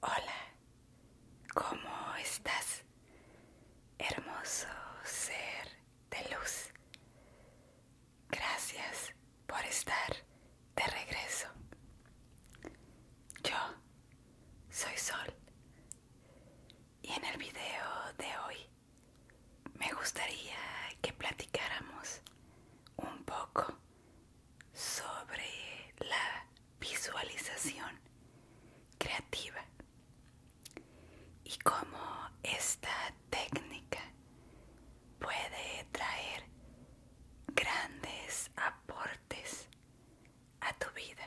Hola, ¿cómo estás? Hermoso ser de luz. Gracias por estar de regreso. Yo soy Sol y en el video de hoy me gustaría que platicáramos un poco sobre la visualización creativa y cómo esta técnica puede traer grandes aportes a tu vida.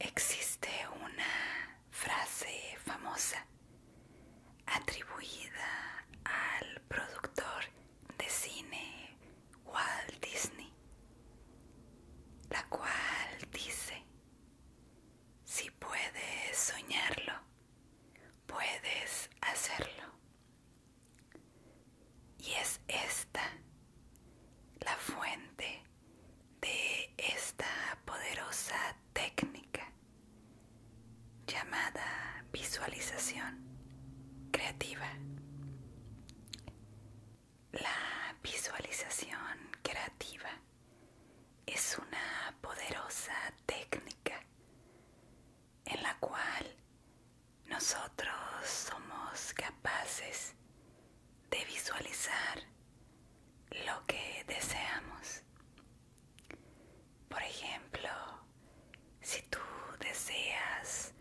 Existe una frase famosa atribuida al productor de cine Walt Disney, la cual dice, si puedes soñarlo, puedes hacerlo. Y es esta la fuente de esta poderosa técnica llamada visualización creativa. La visualización creativa es una poderosa técnica en la cual nosotros somos capaces de visualizar lo que deseamos. Por ejemplo, si tú deseas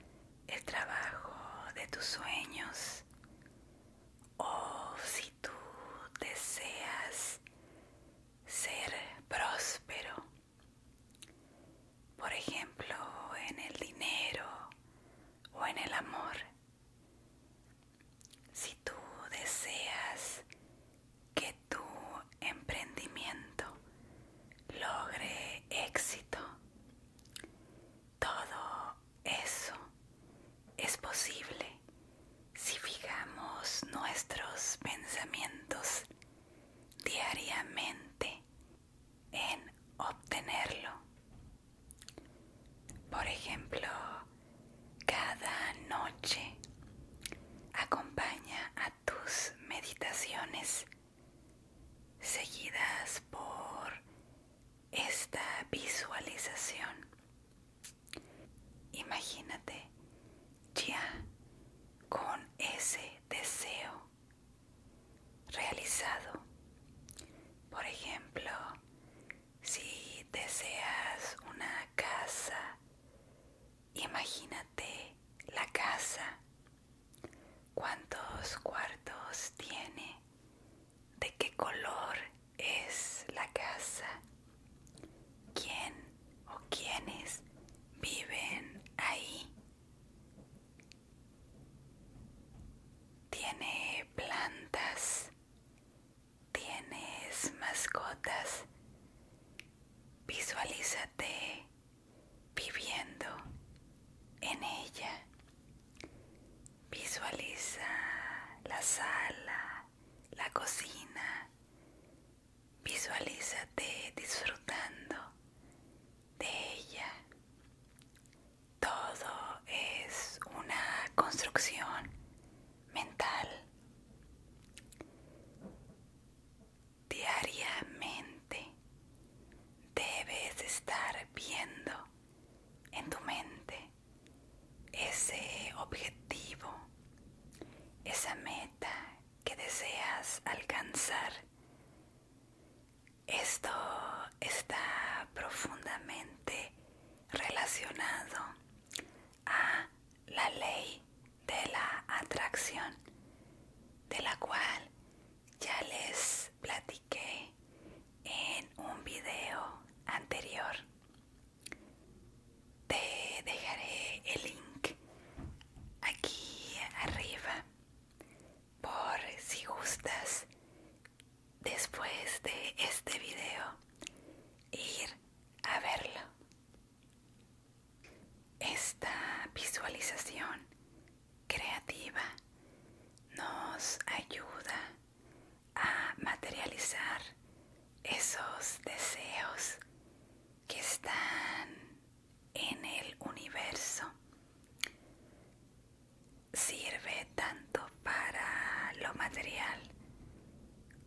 el trabajo de tus sueños o si tú deseas ser próspero, por ejemplo, en el dinero o en el amor, si tú deseas que tu emprendimiento logre éxito. Todo eso es posible si fijamos nuestros pensamientos diariamente en obtenerlo. Por ejemplo, cada noche acompaña a tus meditaciones seguidas por esta visualización. Imagínate ya con ese deseo realizado. Por ejemplo, si deseas una casa, imagínate la casa. ¿Cuántos cuartos tiene? ¿De qué color es la casa? ¿Quién o quiénes viven ahí? ¿Tiene plantas? ¿Tienes mascotas? Visualízate viviendo en ella. Visualiza la sala, la cocina. Visualízate disfrutando de ella. Todo es una construcción mental diariamente debes estar viendo en tu mente ese objetivo, esa meta que deseas alcanzar. Esto está profundamente relacionado a la ley de la atracción, de la cual ya les platiqué en un video anterior. Te dejaré el link aquí arriba por si gustas después de este video ir a verlo. Esta visualización creativa nos ayuda a materializar esos deseos que están en el universo. Sirve tanto para lo material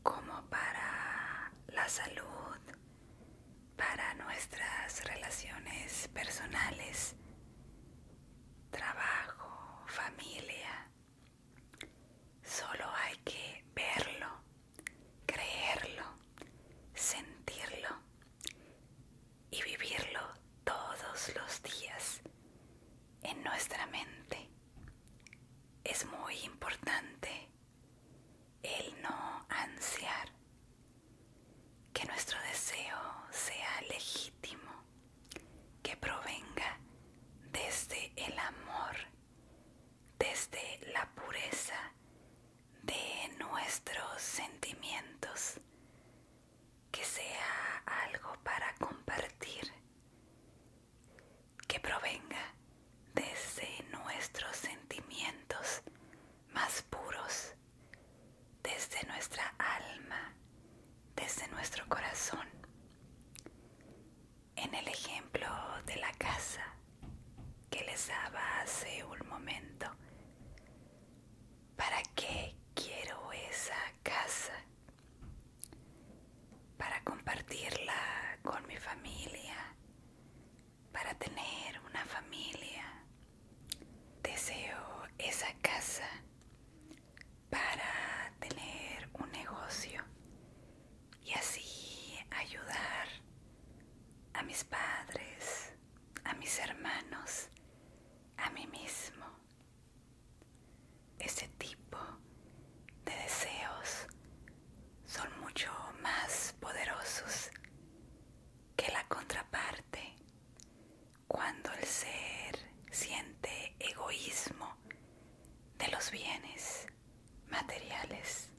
como para la salud, para nuestras relaciones personales, trabajo, familia. Solo hay que verlo, creerlo, sentirlo y vivirlo todos los días en nuestra mente. Es muy importante el no ansiar, que nuestro deseo sea legítimo, que provenga desde el amor, desde la pureza de nuestros sentimientos, que sea algo para compartir, que provenga desde nuestros sentimientos más puros, desde nuestra alma, desde nuestro corazón. En el ejemplo de la casa que les daba hace un momento, ¿para qué quiero esa casa? Para compartirla con mi familia, para tener una familia. Deseo esa casa para tener un negocio y así ayudar a mis padres, a mis hermanos, a mí mismo. Ese tipo de deseos son mucho más poderosos que la contraparte. Cuando el ser siente egoísmo de los bienes materiales,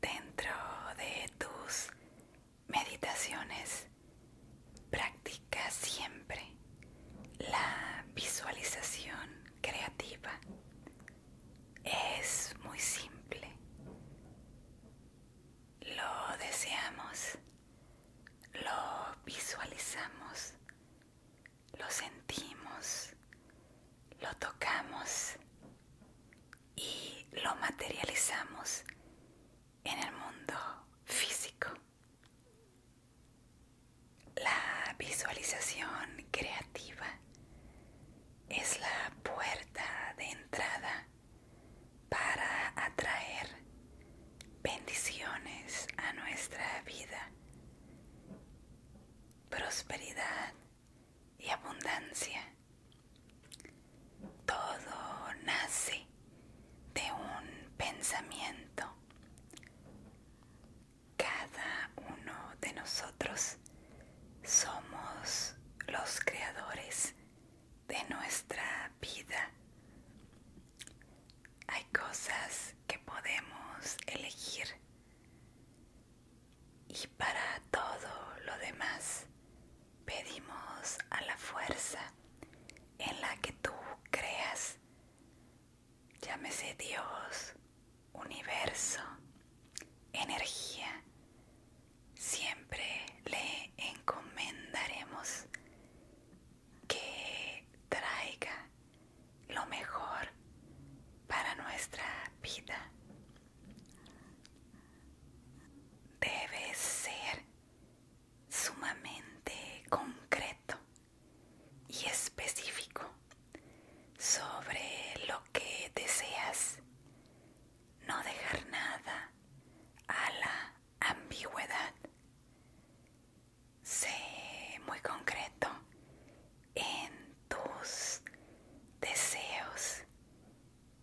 dentro de tus meditaciones practica siempre la visualización creativa es muy simple. Lo deseamos, lo visualizamos, lo sentimos, lo tocamos y lo materializamos en el mundo físico. La visualización creativa es la puerta de entrada para atraer bendiciones a nuestra vida, prosperidad y abundancia. Todo nace de un pensamiento cada uno de nosotros somos los creadores de nuestra vida. Hay cosas que podemos elegir y para todo lo demás pedimos a la fuerza en la que tú creas, llámese Dios, universo, energía, siempre le encomendaremos que traiga lo mejor para nuestra vida. Debe ser sumamente concreto y específico sobre lo que deseas. No dejar nada a la ambigüedad. Sé muy concreto en tus deseos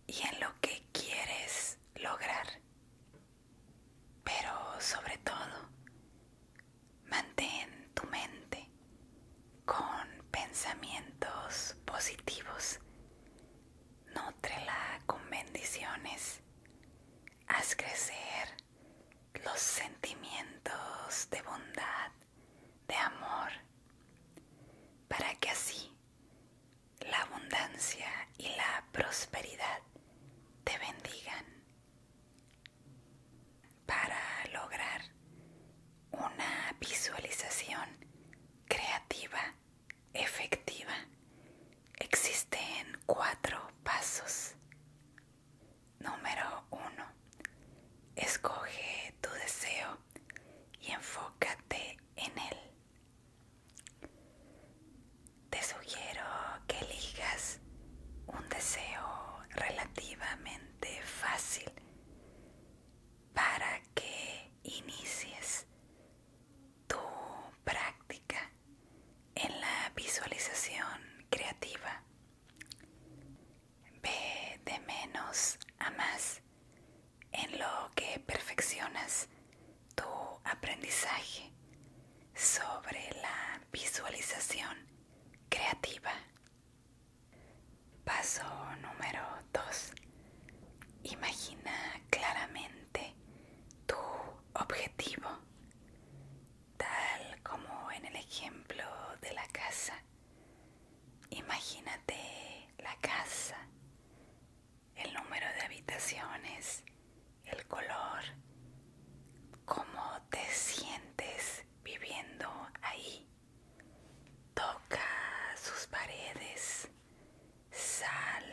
y en lo que quieres lograr. Pero sobre todo, mantén tu mente con pensamientos positivos. nutrela con bendiciones. Haz crecer los sentimientos de bondad, de amor, para que así la abundancia y la prosperidad te bendigan para lograr una visualización creativa, efectiva, existen cuatro pasos. Número uno, escoge tu deseo y enfócate en él. Te sugiero que elijas un deseo relativamente fácil para que inicies tu práctica en la visualización creativa. Ve de menos a más en lo que perfeccionas tu aprendizaje sobre la visualización creativa. Paso número 2. Imagina claramente tu objetivo, tal como en el ejemplo de la casa. Imagínate la casa, el número de habitaciones, el color, cómo te sientes viviendo ahí. Toca sus paredes, sal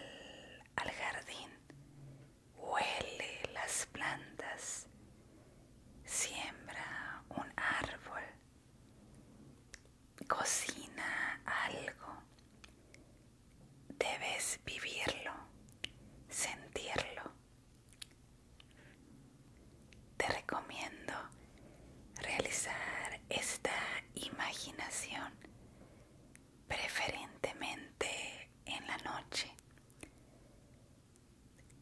al jardín, huele las plantas, siembra un árbol, cocina algo. Debes vivirlo, sentirlo te recomiendo realizar esta imaginación preferentemente en la noche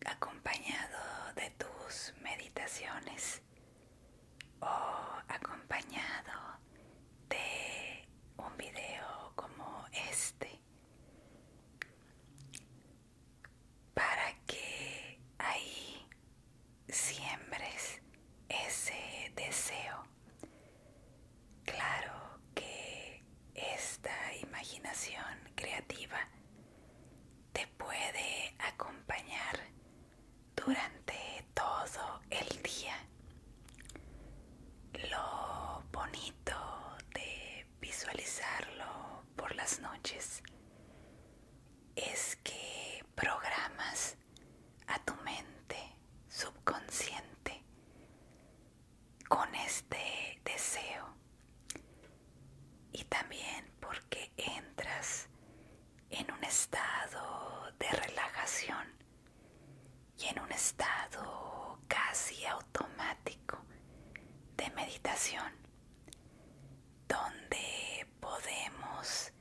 acompañado de tus meditaciones o acompañado de un video como este para que ahí siembres ese deseo. Claro que esta imaginación creativa te puede acompañar durante todo el día. Lo bonito de visualizarlo por las noches es que programas a tu mente subconsciente con este deseo y también porque entras en un estado de relajación y en un estado casi automático de meditación donde podemos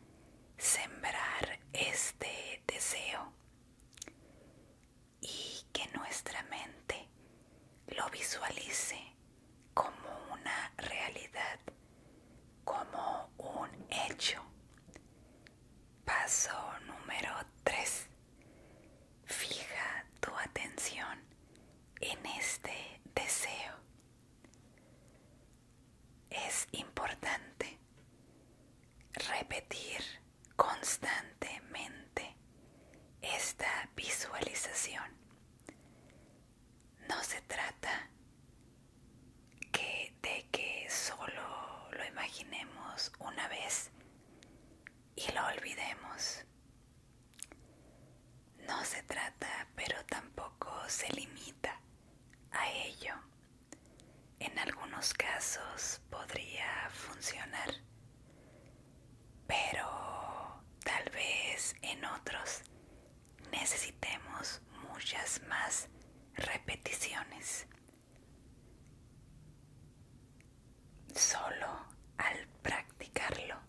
sembrar este deseo y que nuestra mente lo visualice como una realidad, como un hecho. Paso número 3. Fija tu atención en este deseo. Es importante repetir constantemente esta visualización. No se trata que de que solo lo imaginemos una vez y lo olvidemos. No se trata, pero tampoco se limita a ello. En algunos casos podría funcionar, pero tal vez en otros necesitemos muchas más repeticiones. Solo al practicarlo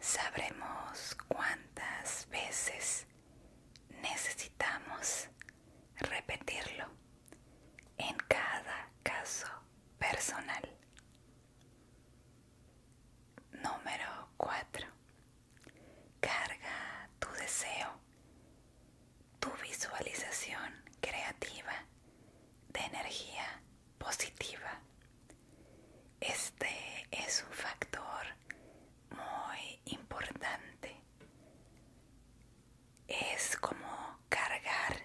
sabremos cuántas veces necesitamos repetirlo en cada caso personal. Número 4. Carga tu deseo, tu visualización creativa de energía positiva este es un factor muy importante. Es como cargar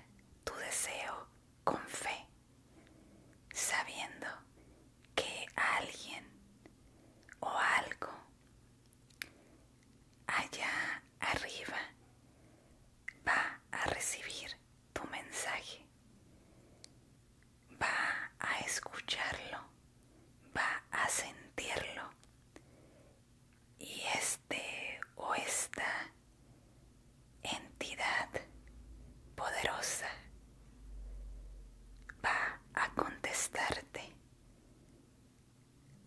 tu deseo con fe, sabiendo que alguien o algo allá arriba va a recibir tu mensaje va a escucharlo, va a sentirlo y este o esta entidad poderosa va a contestarte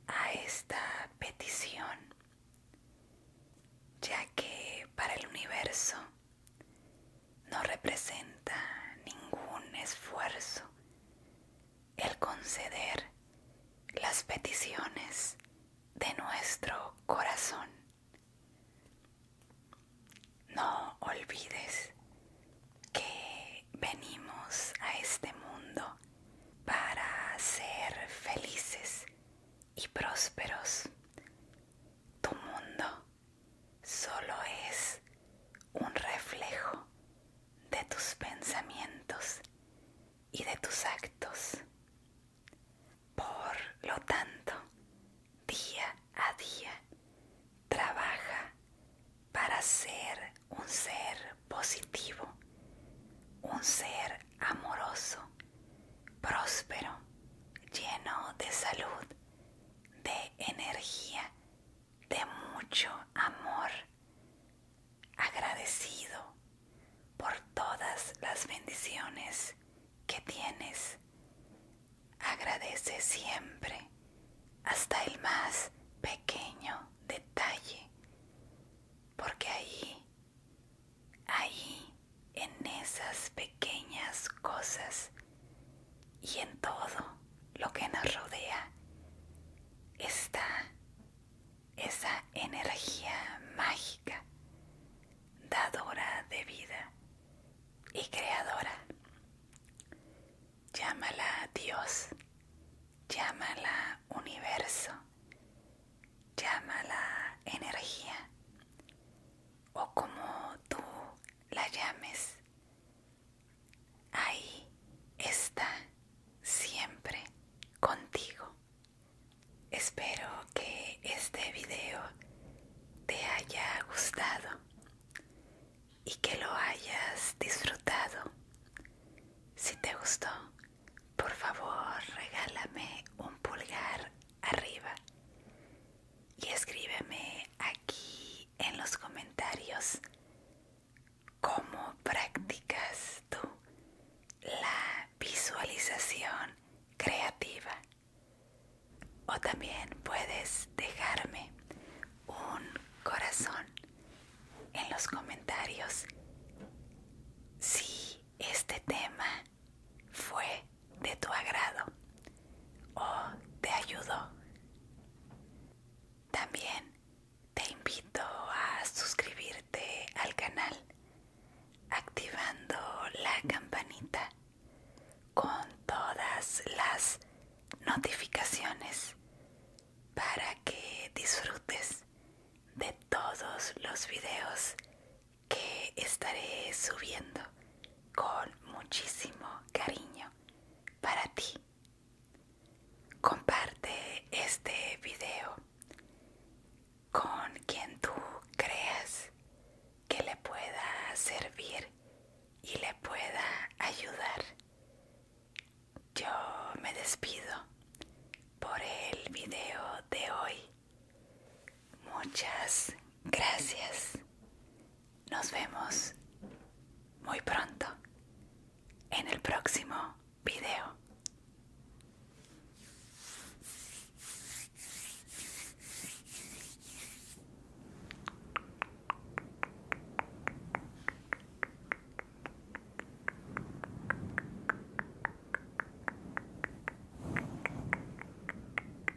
a esta petición ya que para el universo no representa ningún esfuerzo el conceder las peticiones de nuestro corazón. No olvides que venimos a este mundo para ser felices y prósperos. Tu mundo solo es un reflejo de tus pensamientos y de tus actos. Por lo tanto, día a día, trabaja para ser un ser positivo, un ser amoroso, próspero, lleno de salud de energía, de mucho amor, agradecido por todas las bendiciones que tienes. Agradece siempre hasta el más pequeño detalle, porque ahí, ahí, en esas pequeñas cosas, y en todo lo que nos rodea está esa energía mágica, dadora de vida y creadora. Llámala Dios, llámala universo, llámala energía o como tú la llames, ahí está siempre contigo. Espero que este video te haya gustado y que lo hayas disfrutado. Si te gustó, por favor regálame un pulgar arriba y escríbeme aquí en los comentarios cómo practicas tú la visualización creativa. O también puedes dejarme un corazón en los comentarios si este tema fue de tu agrado o oh, te ayudo. También te invito a suscribirte al canal activando la campanita con todas las notificaciones para que disfrutes de todos los videos que estaré subiendo con muchísimo cariño para ti. Comparte este video con quien tú creas que le pueda servir y le pueda ayudar. Yo me despido por el video de hoy. Muchas gracias. Nos vemos muy pronto en el próximo video.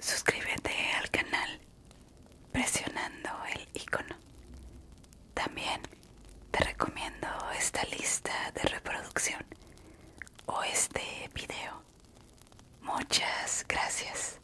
Suscríbete al canal presionando el icono. También te recomiendo esta lista de reproducción o este video. Muchas gracias.